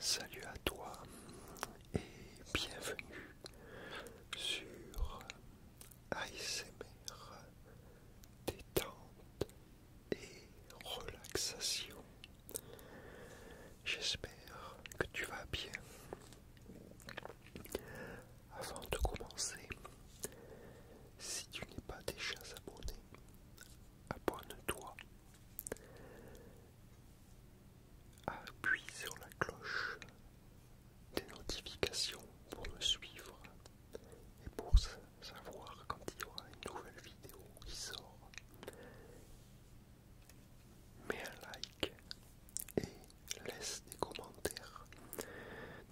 Salut à toi et bienvenue sur ASMR détente et relaxation. J'espère que tu vas bien. Avant de commencer, si tu n'es pas déjà abonné, abonne-toi Appuie sur la cloche des notifications pour me suivre et pour savoir quand il y aura une nouvelle vidéo qui sort. Mets un like et laisse des commentaires.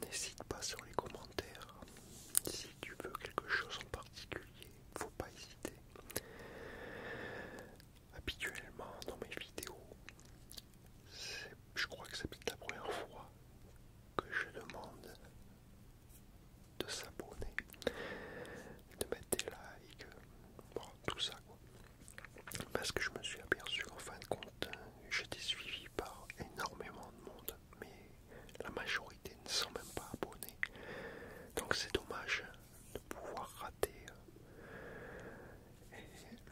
N'hésite pas sur les commentaires si tu veux quelque chose en particulier faut pas hésiter. Habituellement dans mes vidéos, je crois que c'est la première fois que je demande de s'abonner, de mettre des likes, tout ça Parce que je me suis aperçu qu'en fin de compte, j'étais suivi par énormément de monde mais la majorité ne sont même pas abonnés. Donc c'est dommage de pouvoir rater. Et euh,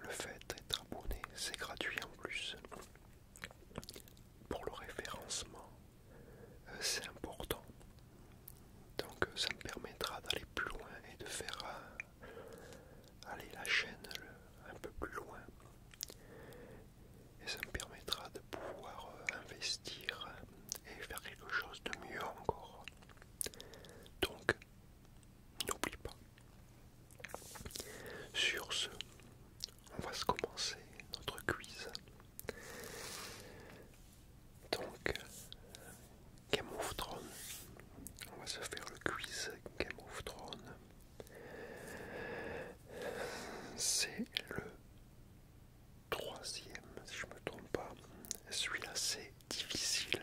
le fait d'être abonné, c'est gratuit en plus. Pour le référencement, euh, c'est important. Donc euh, ça me permettra d'aller plus loin et de faire aller la chaîne un peu plus loin et ça me permettra de pouvoir euh, investir euh, et faire quelque chose de mieux encore. Donc, n'oublie pas. Sur ce, on va se commencer notre quiz. Donc, Game of Thrones. On va se faire le quiz Game of Thrones. C'est le troisième, si je me trompe pas. Celui-là, c'est difficile.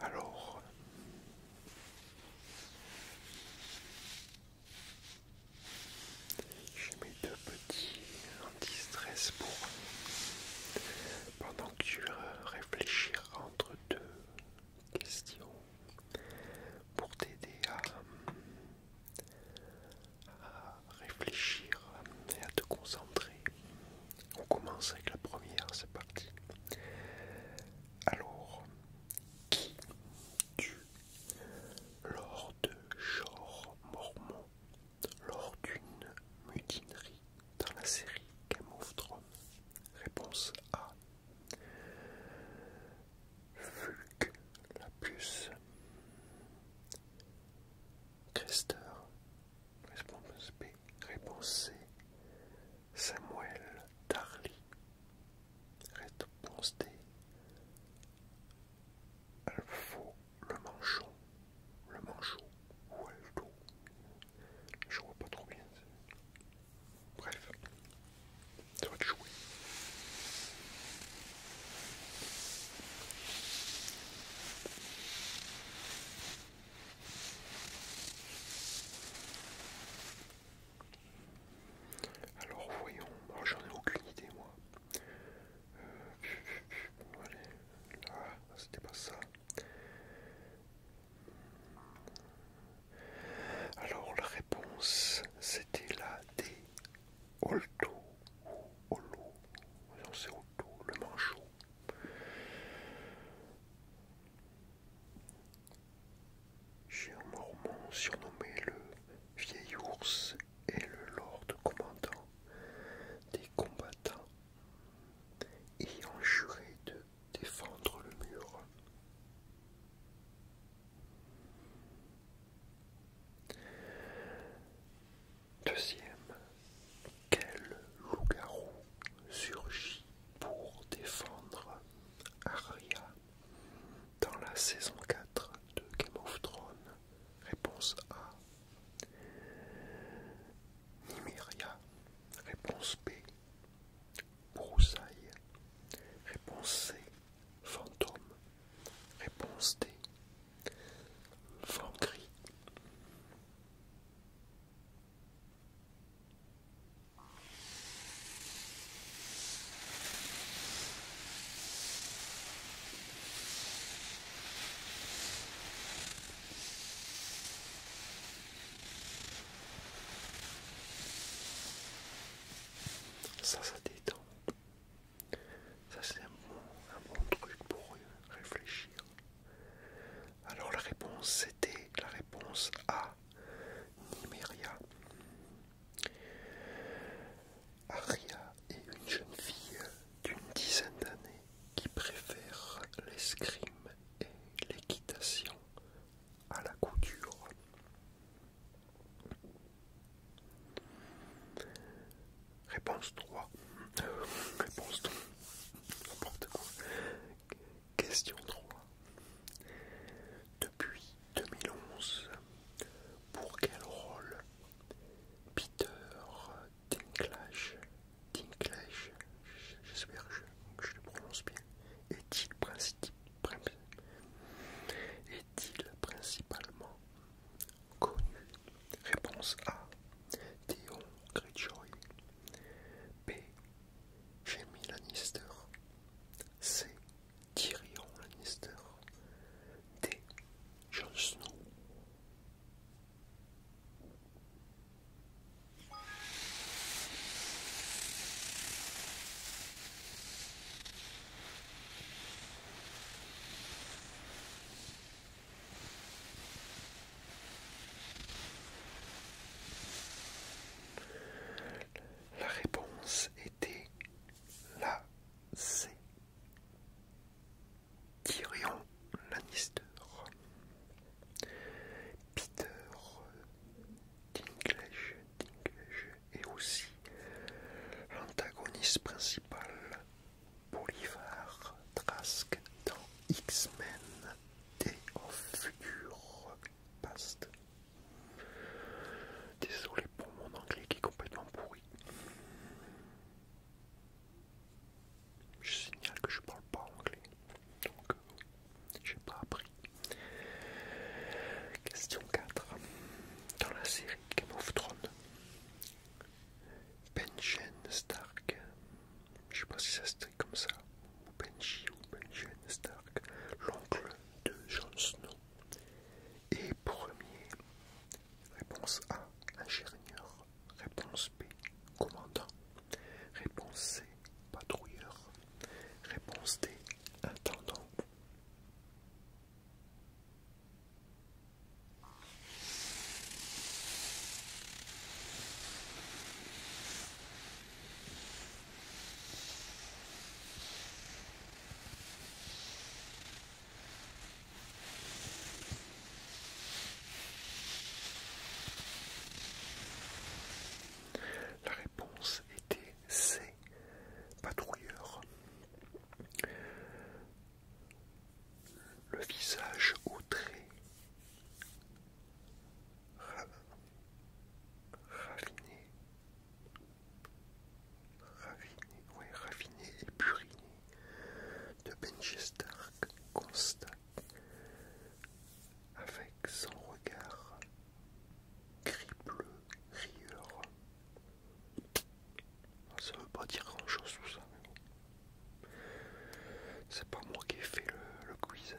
Alors... J'ai mes deux petits anti-stress pour pendant que tu réfléchiras entre deux questions pour t'aider à à réfléchir et à te concentrer. On commence avec la première, c'est parti. Alors, qui tue lors de genre Mormon, lors d'une mutinerie dans la série Game of Thrones Réponse A. Fulk, la puce, Crester, réponse B, réponse C, Samuel, Darly, réponse D, Alfo, le manchon, le manchot ou Alto, je vois pas trop bien. Bref, ça Alors voyons, oh, j'en ai aucune idée moi. Euh, c'était pas ça. Alors la réponse c'était la D. Olto, Olo, c'est Olto, le manchot. un mormon surnommé le vieil ours et le lord commandant des combattants, ayant juré de défendre le mur. Deuxième, quel loup-garou surgit pour défendre Aria dans la saison 4 de Game of Thrones Réponse A. Nymeria. Réponse B. Broussailles. Réponse C. Fantôme. Réponse D. Vent cri. Ça, ça détend. Ça c'est un, bon, truc pour réfléchir. Alors la réponse c'était la réponse A, Niméria. Aria est une jeune fille d'une dizaine d'années qui préfère l'escrime et l'équitation à la couture. Réponse 3. Réponse 3. Question 3. Depuis 2011, pour quel rôle Peter Tinklage j'espère que je, le prononce bien, est-il principalement Connu. Réponse A. Dion Greyjoy. B. Jamie Lannister. C. Tyrion Lannister. D. Jon Snow. La réponse était la C. Tyrion Lannister. Peter et aussi l'antagoniste principal Bolivar Trask dans X-Men Day of Future Past. Désolé pour mon anglais qui est complètement pourri. Je signale que je parle pas anglais, donc euh, je n'ai pas appris. Question 4. Dans la série Game of Thrones. Benjen Stark. Je sais pas si ça se comme ça. Ou Benji ou Benjen Stark. L'oncle de Jon Snow. Et premier. Réponse A. Ingénieur. Réponse B. Commandant. Réponse C. Patrouilleur. Réponse D. Intendant. La réponse était c'est Patrouilleur, Le visage outré, trait raffiné, raffiné, ouais, raffiné et puriné de Benji Stark constate avec son regard gris bleu rieur ça veut pas dire grand chose tout ça. C'est pas moi qui ai fait le, quiz.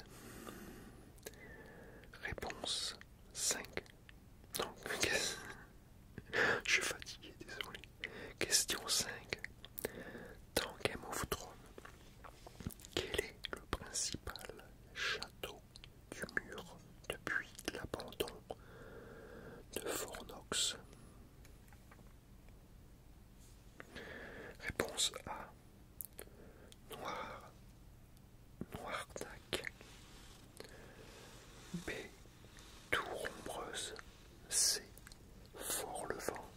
Réponse 5. Non, je suis fatigué, désolé. Question 5. Dans Game of Thrones, quel est le principal château du mur depuis l'abandon de Fornox Réponse A. Noir. Noirnac. B. Tour ombreuse. C. Fort le vent.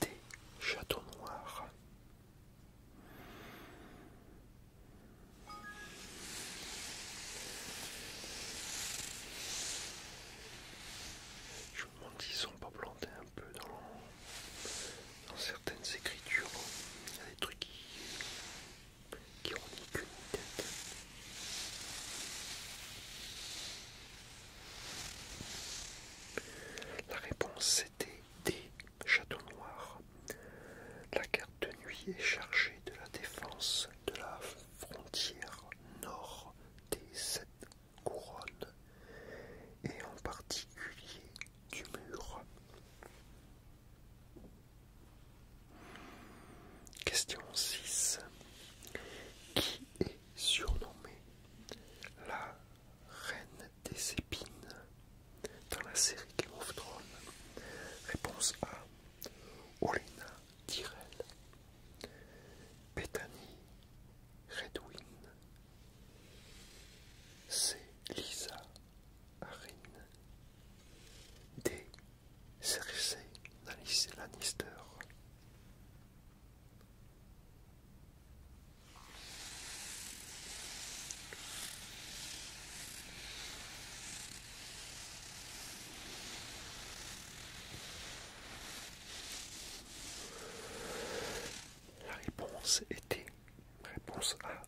D. Château noir. Je me demande s'ils sont pas plantés un peu dans, certaines écritures. Il y a des trucs qui, ont ni La réponse c'était des châteaux noirs la carte de nuit est chargée de la défense de la frontière nord des sept couronnes et en particulier du mur. Question 6. Qui est surnommée la reine des épines dans la série Game of Thrones Réponse A. Olena Tyrell, Bethany Redwin, C. Lisa Arin, D. Cersei Lannister. La réponse était réponse A.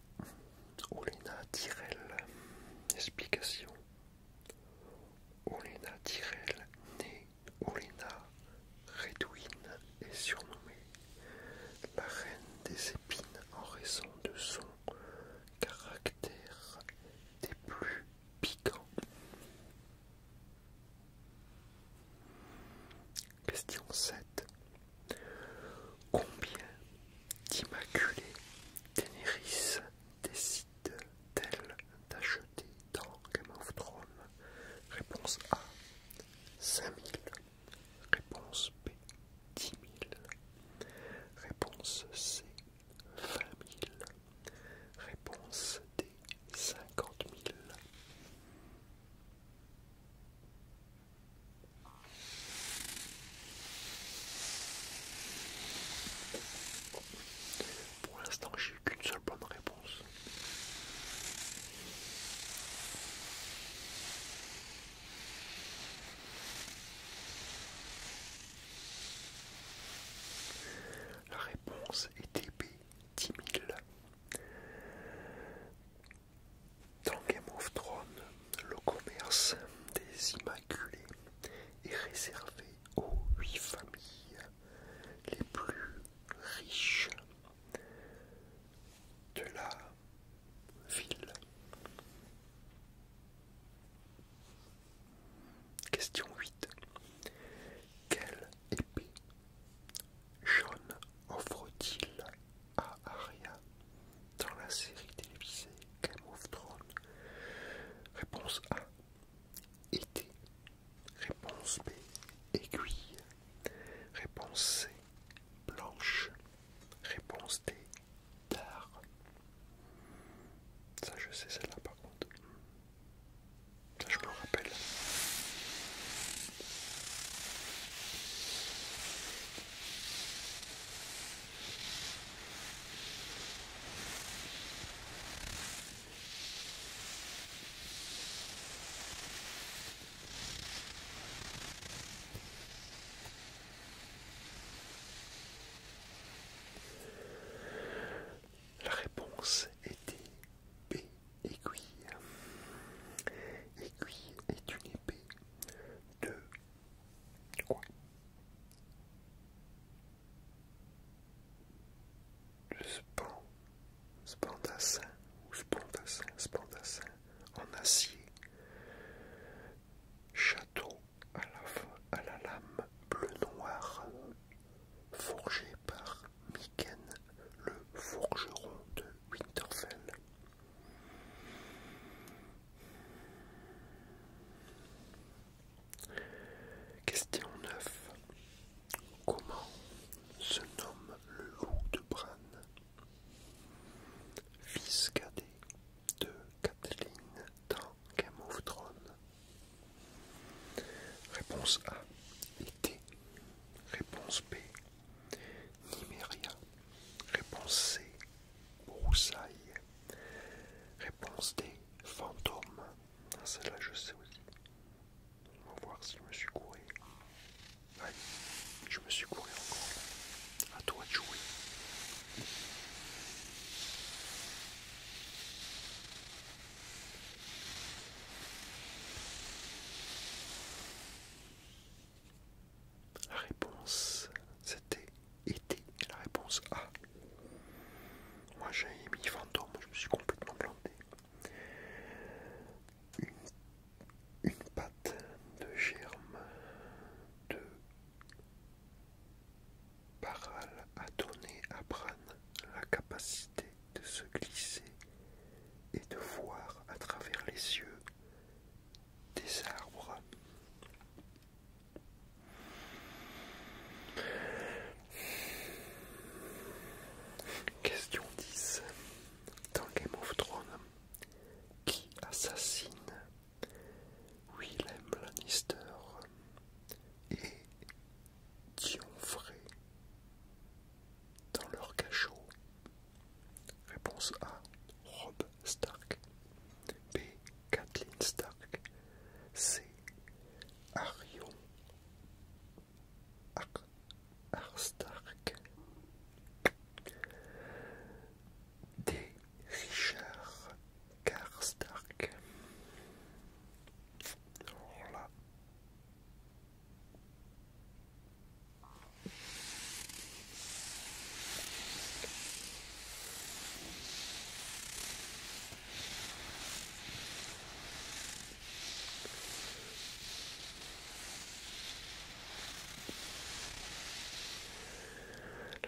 Olena Tyrell. Explication. Olena Tyrell, née Olena Redouine, est surnommée la reine des épines en raison de son Caractère des plus piquants. Question 7. Combien d'immaculés Ténéris décide-t-elle d'acheter dans Game of Thrones Réponse A 5000. Réponse B 10 000. Réponse C, 20 000. Réponse D, 50 000. Pour l'instant, j'ai eu qu'une seule bonne réponse. La réponse était B, 10 000. Dans Game of Thrones, le commerce des Immaculés est réservé aux huit familles les plus riches de la ville. Question 8. Quelle épée jaune offre-t-il à Arya dans la série télévisée Game of Thrones Réponse A. Été. Réponse B. Aiguille. Réponse C. Blanche. Réponse D tard. Ça, je sais, celle-là, par contre. Ça, je me rappelle. La réponse était B, aiguille. Aiguille est une épée de quoi de span, spandassin ou spandassin, spandassin en acier Château à la, lame bleu-noir, forgé par Miken, le forgeron de Winterfell. Question 9. Comment se nomme le loup de Bran Fils cadet de Kathleen dans Game of Thrones Réponse A, été. Réponse B, Niméria. Réponse C, broussailles. Réponse D, fantôme. Ah, celle-là, je sais aussi. On va voir si je me suis couru. je me suis couru encore. À toi de jouer. La réponse, c'était été. E La réponse A. Moi j'ai mis fantôme, je me suis complètement planté. Une, une pâte de germe de Paral a donné à Bran la capacité de se glisser et de voir à travers les yeux des arbres. Question 10. Dans Game of Thrones, qui assassine Willem Lannister et Frey dans leur cachot Réponse A. Rob Stark B. Kathleen Stark C. Arion Ar, Stark des Richard Karstark. stark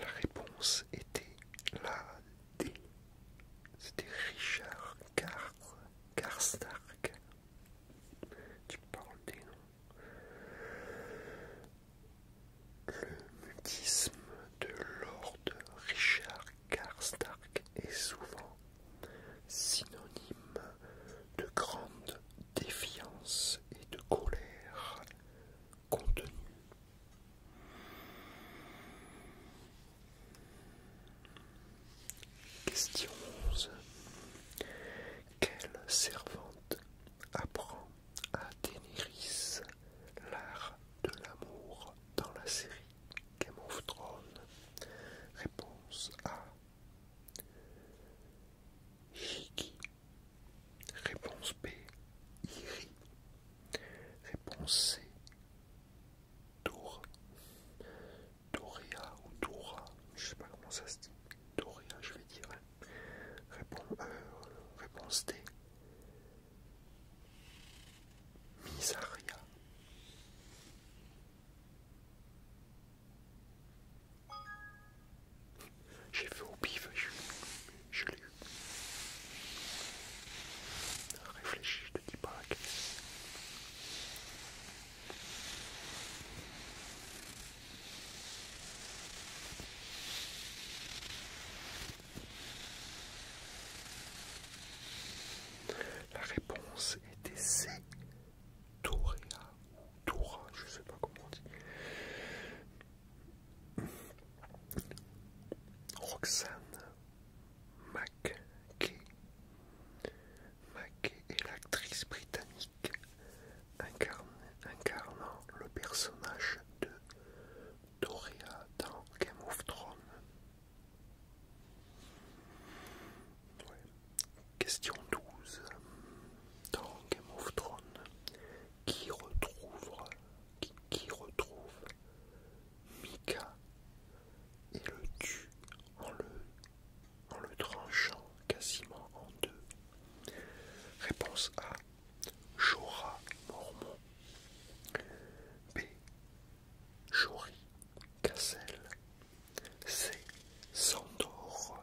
La réponse était la D. C'était Richard Car Karstark. Tu parles des noms. Le mutisme de Lord Richard Karstark est souvent synonyme de grande défiance et de colère contenu. Question 11. Quelle servante apprend à Daenerys l'art de l'amour dans la série Game of Thrones Réponse A. Shiki Réponse B. Iri. Réponse C. Dora. Doria ou Dora. Je sais pas comment ça se dit. Doria, je vais dire. Hein. Réponse, euh, réponse D. Misaria. J'ai vu au pif, je, l'ai eu. Réfléchis, je te dis pas La réponse était C. Toréa ou Tora, je sais pas comment on dit. Roxane McKay. McKay est l'actrice britannique incarnant le personnage de Doria dans Game of Thrones. Question 12. Dans Game of Thrones, qui retrouve, qui, retrouve Mika et le tue en le, tranchant quasiment en deux. Réponse A. Jorah Mormon. B. Jori Cassel. C. Sandor.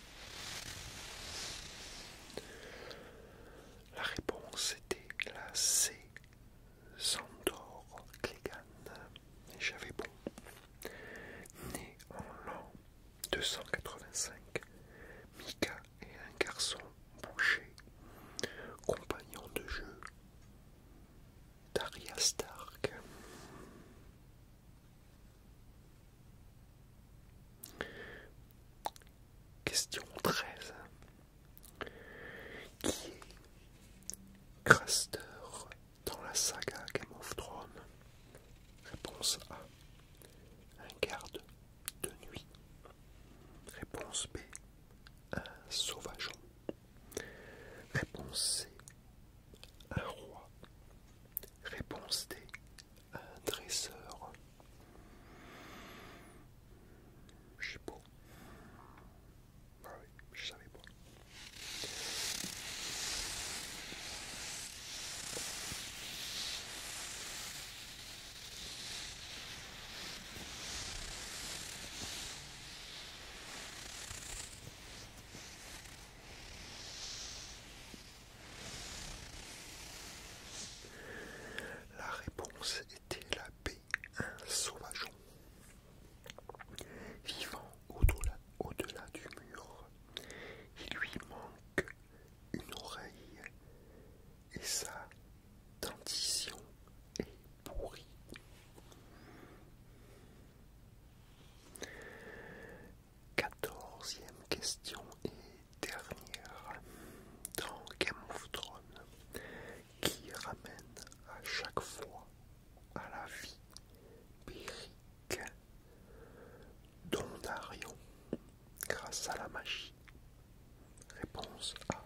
La réponse était la C. Sandor Clégan, j'avais bon. Né en l'an 285, Mika est un garçon boucher, compagnon de jeu d'Aria Stark. Question 13. Qui est Craster dans la saga Game of Thrones Réponse A. Un garde de nuit. Réponse B. Un sauvageon. Réponse C. Un roi. Réponse D un dresseur. Je sais pas. Ah oui, je savais pas. La réponse était la paix, un sauvageon. Vivant au au -delà du mur, il lui manque une oreille et sa dentition est pourrie. Quatorzième question et dernière dans Game of Thrones qui ramène à chaque fois à la vie Beric Dondarion grâce à la magie. Réponse A.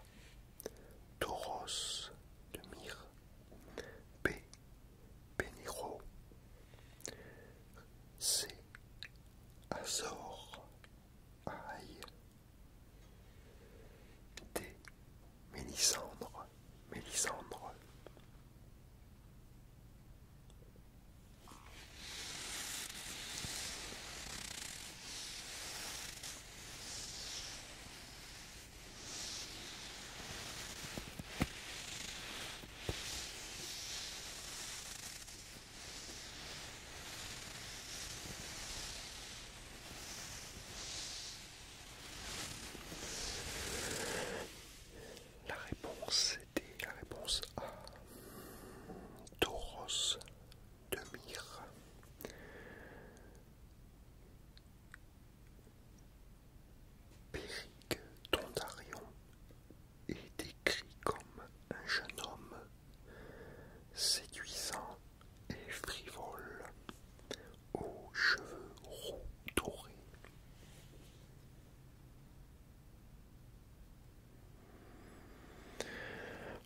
Tauros de Mire B. Péniro, C. Azor, Aïe, D. Mélisandre, Mélisandre. La réponse était la réponse A. Tauros de Mire. Péric est décrit comme un jeune homme séduisant et frivole, aux cheveux roux dorés.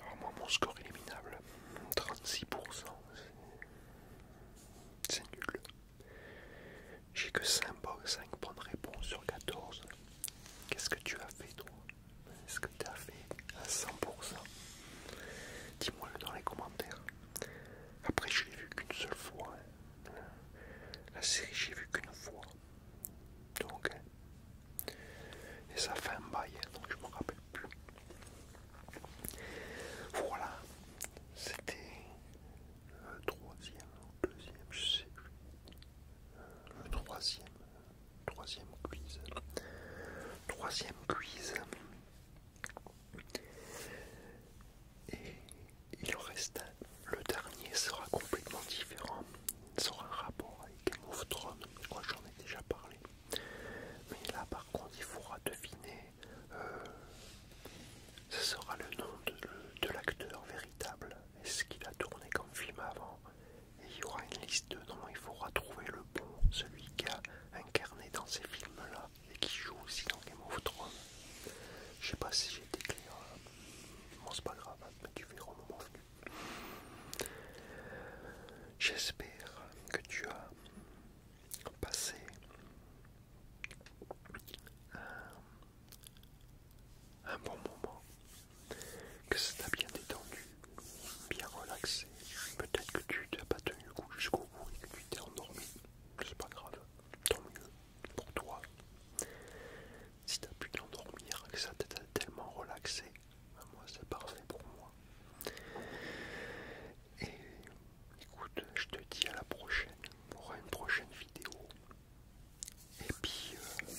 Alors moi mon score éliminable, 36%, c'est nul. J'ai que 5 bonnes réponse sur 14. Qu'est-ce que tu as fait toi Est-ce que tu as fait à 100% Dis-moi le dans les commentaires. Après je l'ai vu qu'une seule fois. Hein. La série j'ai vu qu'une fois. Donc hein. et ça fait un bail, hein, donc je me rappelle plus. Voilà, c'était le troisième le deuxième, je sais le euh, troisième, troisième quiz, troisième quiz, et il reste le dernier sera complètement différent, Sera un rapport avec Game of j'en ai déjà parlé, mais là par contre il faudra deviner euh, ce sera le nom de, l'acteur véritable est ce qu'il a tourné comme film avant. Et il y aura une liste de noms, il faudra trouver le bon, celui qui a incarné dans ces films-là et qui joue aussi dans Game of Thrones. Je sais pas si j'ai été clair, hein. bon c'est pas grave, hein, mais tu verras au moment venu. J'espère que tu as passé un bon moment, que ça t'a bien détendu, bien relaxé. Peut-être que tu t'as pas tenu le coup jusqu'au bout et que tu t'es endormi. C'est pas grave, tant mieux pour toi. Si t'as pu t'endormir, que ça t'a tellement relaxé, ben moi c'est parfait pour moi. Et écoute, je te dis à la prochaine pour une prochaine vidéo et puis, euh,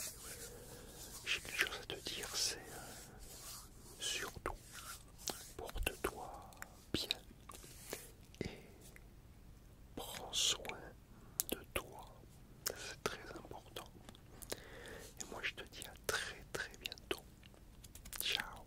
j'ai quelque chose à te dire, c'est euh, surtout porte-toi bien et prends soin de toi. C'est très important. Et moi, je te dis à très très bientôt. Ciao.